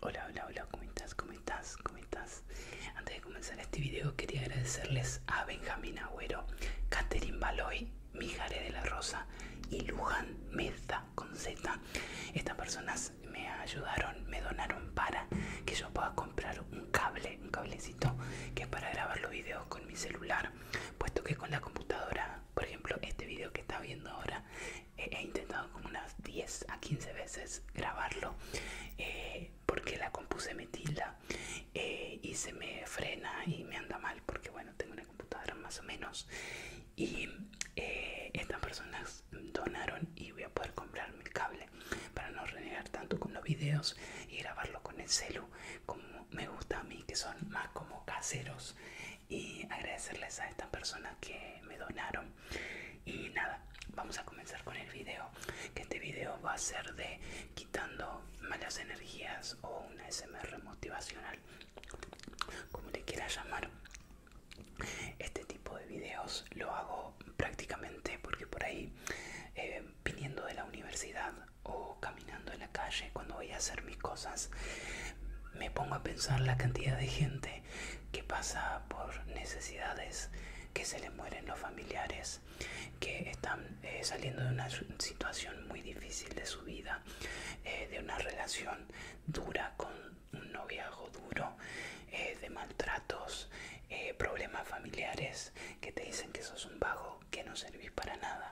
Hola, hola, hola, ¿cómo estás? ¿Cómo estás? ¿Cómo estás? Antes de comenzar este video quería agradecerles a Benjamín Agüero, Catherine Baloy, Mijare de la Rosa y Luján Meza con Z. Estas personas me ayudaron, me donaron para que yo pueda comprar un cable, un cablecito que es para grabar los videos con mi celular, puesto que con la computadora, por ejemplo, este video que está viendo ahora he intentado como unas 10 a 15 veces grabarlo eh, porque la compuse me tilda eh, y se me frena y me anda mal porque bueno tengo una computadora más o menos y eh, estas personas donaron y voy a poder comprarme el cable para no renegar tanto con los videos y grabarlo con el celu como me gusta a mí que son más como caseros y agradecerles a estas personas que me donaron. Y nada, vamos a comenzar con el video. Que este video va a ser de quitando malas energías o una SMR motivacional, como le quiera llamar. Este tipo de videos lo hago prácticamente porque por ahí, eh, viniendo de la universidad o caminando en la calle cuando voy a hacer mis cosas, me pongo a pensar la cantidad de gente que pasa por necesidades, que se le mueren los familiares, que están eh, saliendo de una situación muy difícil de su vida, eh, de una relación dura con un noviazgo duro, eh, de maltratos, problemas familiares, que te dicen que sos un vago, que no servís para nada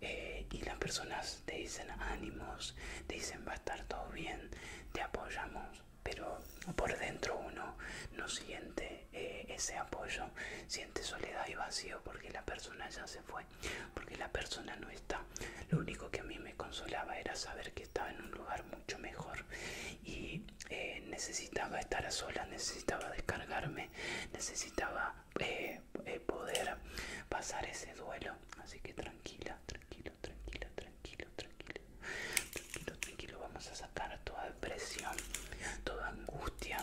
Eh, y las personas te dicen ánimos, te dicen va a estar todo bien, te apoyamos, pero por dentro uno no siente eh, ese apoyo, siente soledad y vacío porque la persona ya se fue, porque la persona no está. Lo único que a mí me consolaba era saber que estaba en un lugar mucho mejor y eh, necesitaba estar a necesitaba descargarme necesitaba eh, eh, poder pasar ese duelo así que tranquila tranquilo tranquila tranquilo tranquilo tranquilo tranquila vamos a sacar toda depresión toda angustia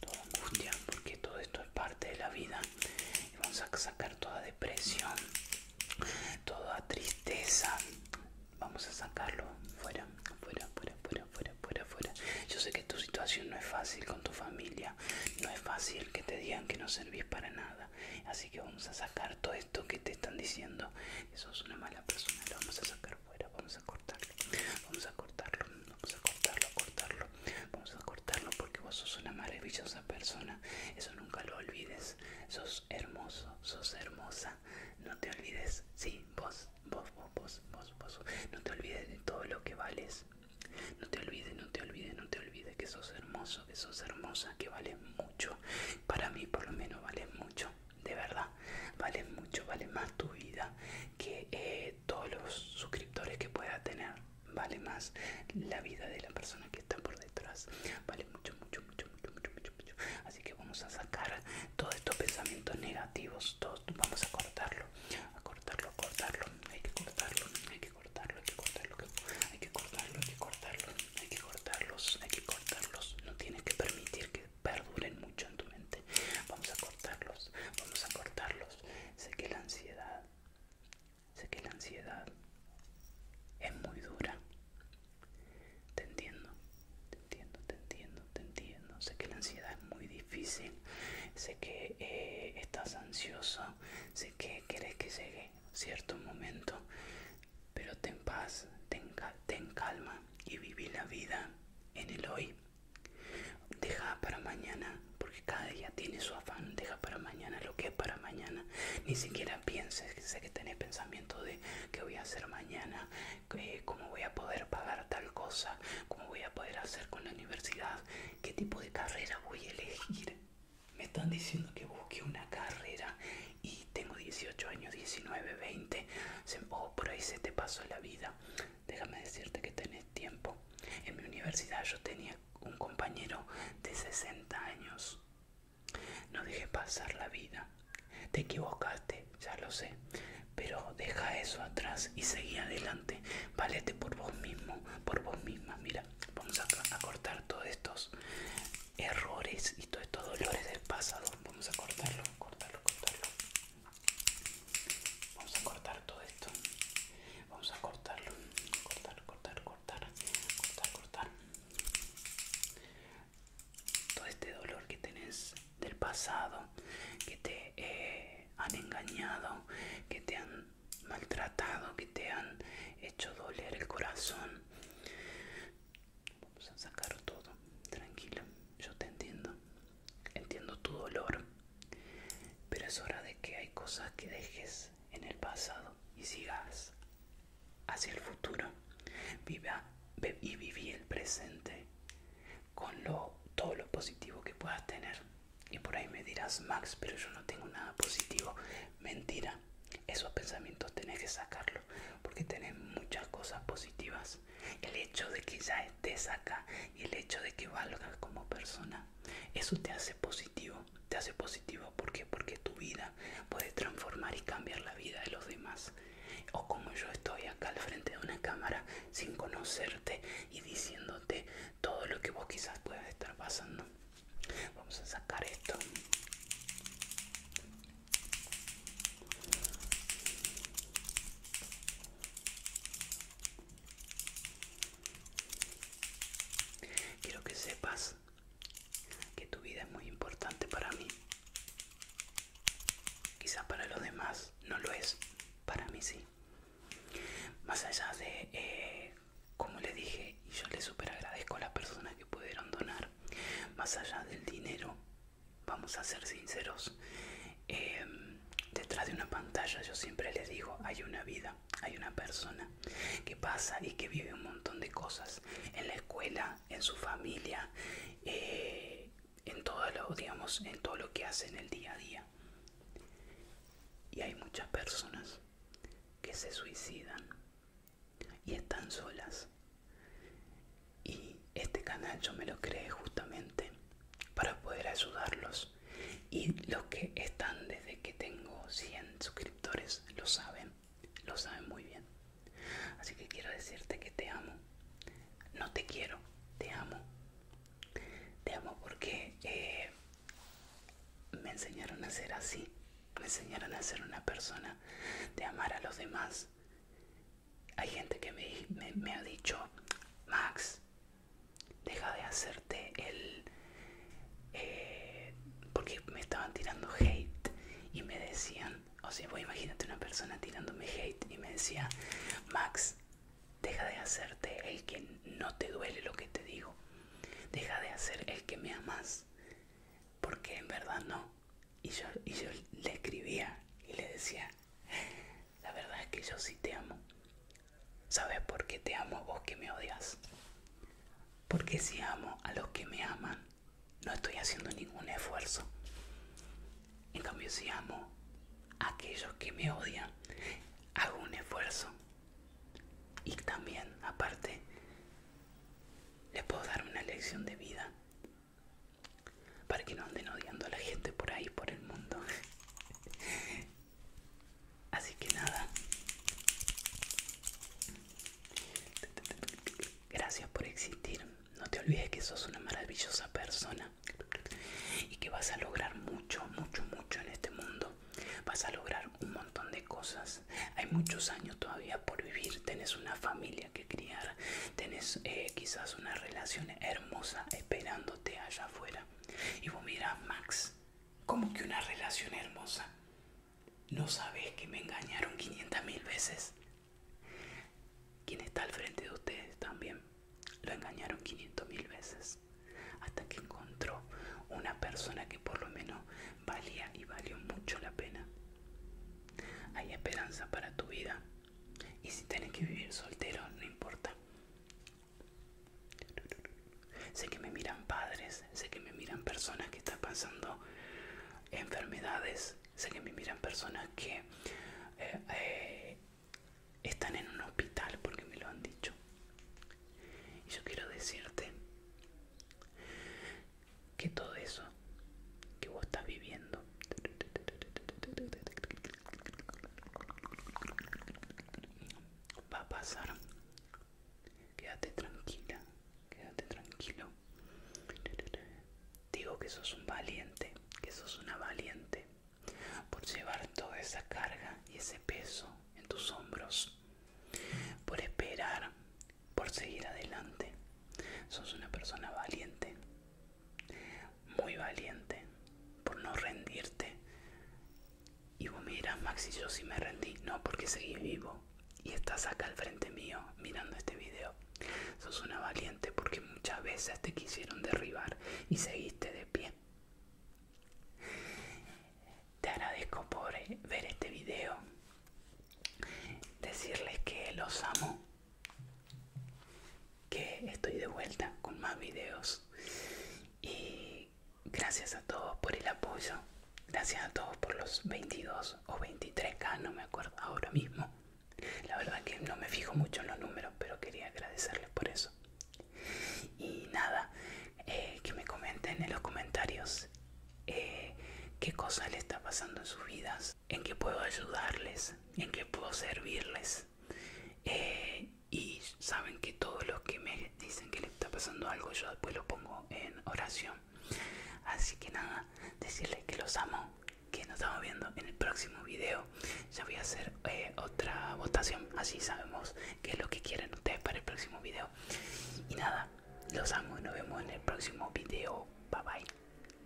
toda angustia porque todo esto es parte de la vida vamos a sacar toda depresión toda tristeza Vamos a sacarlo fuera, fuera, fuera, fuera, fuera, fuera, Yo sé que tu situación no es fácil con tu familia, no es fácil que te digan que no servís para nada. Así que vamos a sacar todo esto que te están diciendo. Eso es una mala persona, lo vamos a sacar fuera, vamos a cortarlo, vamos a cortarlo, vamos a cortarlo, a cortarlo, vamos a cortarlo porque vos sos una maravillosa persona. Eso nunca lo olvides. Sos hermoso, sos hermosa. No te olvides, sí, vos vos, vos, vos, No te olvides de todo lo que vales. No te olvides, no te olvides, no te olvides que sos hermoso, que sos hermosa, que vales mucho. Para mí por lo menos vales mucho, de verdad. Vales mucho, vale más tu vida que eh, todos los suscriptores que pueda tener. Vale más la vida de la persona que está por detrás. Vale mucho, mucho Así que vamos a sacar todos estos pensamientos negativos, todos vamos a cortarlo, a cortarlo, a cortarlo, hay que cortarlo, hay que cortarlo, hay que cortarlo, hay que cortarlo, hay que cortarlo, hay que cortarlos, hay que cortarlos, no tienes que permitir que perduren mucho en tu mente. Vamos a cortarlos, vamos a cortarlos. Sé que la ansiedad, sé que la ansiedad es muy dura, te entiendo, te entiendo, te entiendo, te entiendo. Sé que la ansiedad es muy difícil, sé que eh, estás ansioso, sé que querés que llegue cierto momento, pero ten paz, ten, ten calma y viví la vida en el hoy. Deja para mañana, porque cada día tiene su afán. Deja para mañana lo que es para mañana. Ni siquiera pienses, sé que tenés pensamiento de qué voy a hacer mañana, cómo voy a poder pagar tal cosa, cómo voy a poder hacer con la universidad, qué tipo de carrera voy a elegir. Me están diciendo que busque una carrera y tengo 18 años, 19, 20, o oh, por ahí se te pasó la vida. Déjame decirte que tenés tiempo. En mi universidad yo tenía un compañero de 60 años no dejes pasar la vida. Te equivocaste, ya lo sé. Pero deja eso atrás y seguí adelante. Valete por vos mismo, por vos misma. Mira, vamos a, cortar todos estos errores y todos estos dolores del pasado. Vamos a cortarlo, cortarlo, cortarlo. Vamos a cortar todo esto. Vamos a cortarlo. Cortar, cortar, cortar. Cortar, cortar todo este dolor que tenés del pasado, que te eh, han engañado, que te han maltratado, que te han hecho doler el corazón. Vamos a sacar todo, tranquilo, yo te entiendo, entiendo tu dolor, pero es hora de que hay cosas que dejes en el pasado y sigas hacia el futuro Viva, y viví el presente con todo lo positivo que puedas tener. Y por ahí me dirás, Max, pero yo no tengo nada positivo. Mentira, esos pensamientos tenés que sacarlo porque tenés muchas cosas positivas. El hecho de que ya estés acá y el hecho de que valgas como persona, eso te hace positivo. Te hace positivo porque porque tu vida puede puedes transformar y cambiar la vida de los demás. O como yo estoy acá al frente de una cámara sin conocerte y diciéndote todo lo que vos quizás puedas estar pasando. Vamos a sacar esto. Quiero que sepas que tu vida es muy importante para mí. Quizás para los demás no lo es, para mí sí. Más allá de, eh, como le dije, y yo le super agradezco a las personas que pudieron donar, más allá del dinero, vamos a ser sinceros, eh, detrás de una pantalla yo siempre les digo, hay una vida hay una persona que pasa y que vive un montón de cosas en la escuela, en su familia, eh, en, todo lo, digamos, en todo lo que hace en el día a día. Y hay muchas personas que se suicidan y están solas. Y este canal yo me lo creé justamente para poder ayudarlos y los que están desde que tengo 100 suscriptores lo saben, lo saben muy bien. Así que quiero decirte que te amo. No te quiero, te amo. Te amo porque eh, me enseñaron a ser así. Me enseñaron a ser una persona de amar a los demás. Hay gente que me ha dicho, Max, Deja de hacerte el... Eh, porque me estaban tirando hate y me decían, o sea, voy imagínate una persona tirándome hate y me decía, Max, deja de hacerte el que no te duele lo que te digo, deja de hacer el que me amas, porque en verdad no. Y yo, y yo le escribía y le decía, la verdad es que yo sí te amo, ¿Sabes por qué te amo vos que me odias? Porque si amo a los que me aman, no estoy haciendo ningún esfuerzo. En cambio, si amo a aquellos que me odian, hago un esfuerzo. Y también, aparte, les puedo dar una lección de vida para que no anden odiando a la gente por ahí, por el mundo. Así que nada. Gracias por existir. No te olvides que sos una maravillosa persona y que vas a lograr mucho, mucho, mucho en este mundo. Vas a lograr un montón de cosas. Hay muchos años todavía por vivir. Tenés una familia que criar. Tenés eh, quizás una relación hermosa esperándote allá afuera. Y vos mirás, Max, como que una relación hermosa? ¿No sabes que me engañaron 500 mil veces? Quien está al frente de ustedes también lo engañaron 500 mil veces hasta que encontró una persona que por lo menos valía y valió mucho la pena. Hay esperanza para tu vida y si tienes que vivir soltero, no importa. Sé que me miran padres, sé que me miran personas que están pasando enfermedades, sé que me miran personas que eh, eh, están en un hospital porque me lo han dicho. Y yo quiero decirte que todo eso que vos estás viviendo Va a pasar. Quédate tranquila, quédate tranquilo. Digo que sos un valiente, que sos una valiente por llevar toda esa carga y ese peso en tus hombros, por esperar, por seguir adelante. Sos una persona valiente, muy valiente por no rendirte. Y vos mirás, Maxi, yo si me rendí. No, porque seguí vivo y estás acá al frente mío mirando este video. Sos una valiente porque muchas veces te quisieron derribar y seguiste de pie. Te agradezco por eh, ver este video, decirles que los amo que estoy de vuelta con más videos y gracias a todos por el apoyo gracias a todos por los 22 o 23k no me acuerdo ahora mismo la verdad que no me fijo mucho en los números pero quería agradecerles por eso y nada eh, que me comenten en los comentarios eh, qué cosa le está pasando en sus vidas en qué puedo ayudarles, en qué puedo servirles. Eh, y saben que todos los que me dicen que les está pasando algo, yo después lo pongo en oración. Así que nada, decirles que los amo, que nos estamos viendo en el próximo video. Ya voy a hacer eh, otra votación, así sabemos qué es lo que quieren ustedes para el próximo video. Y nada, los amo y nos vemos en el próximo video. Bye bye.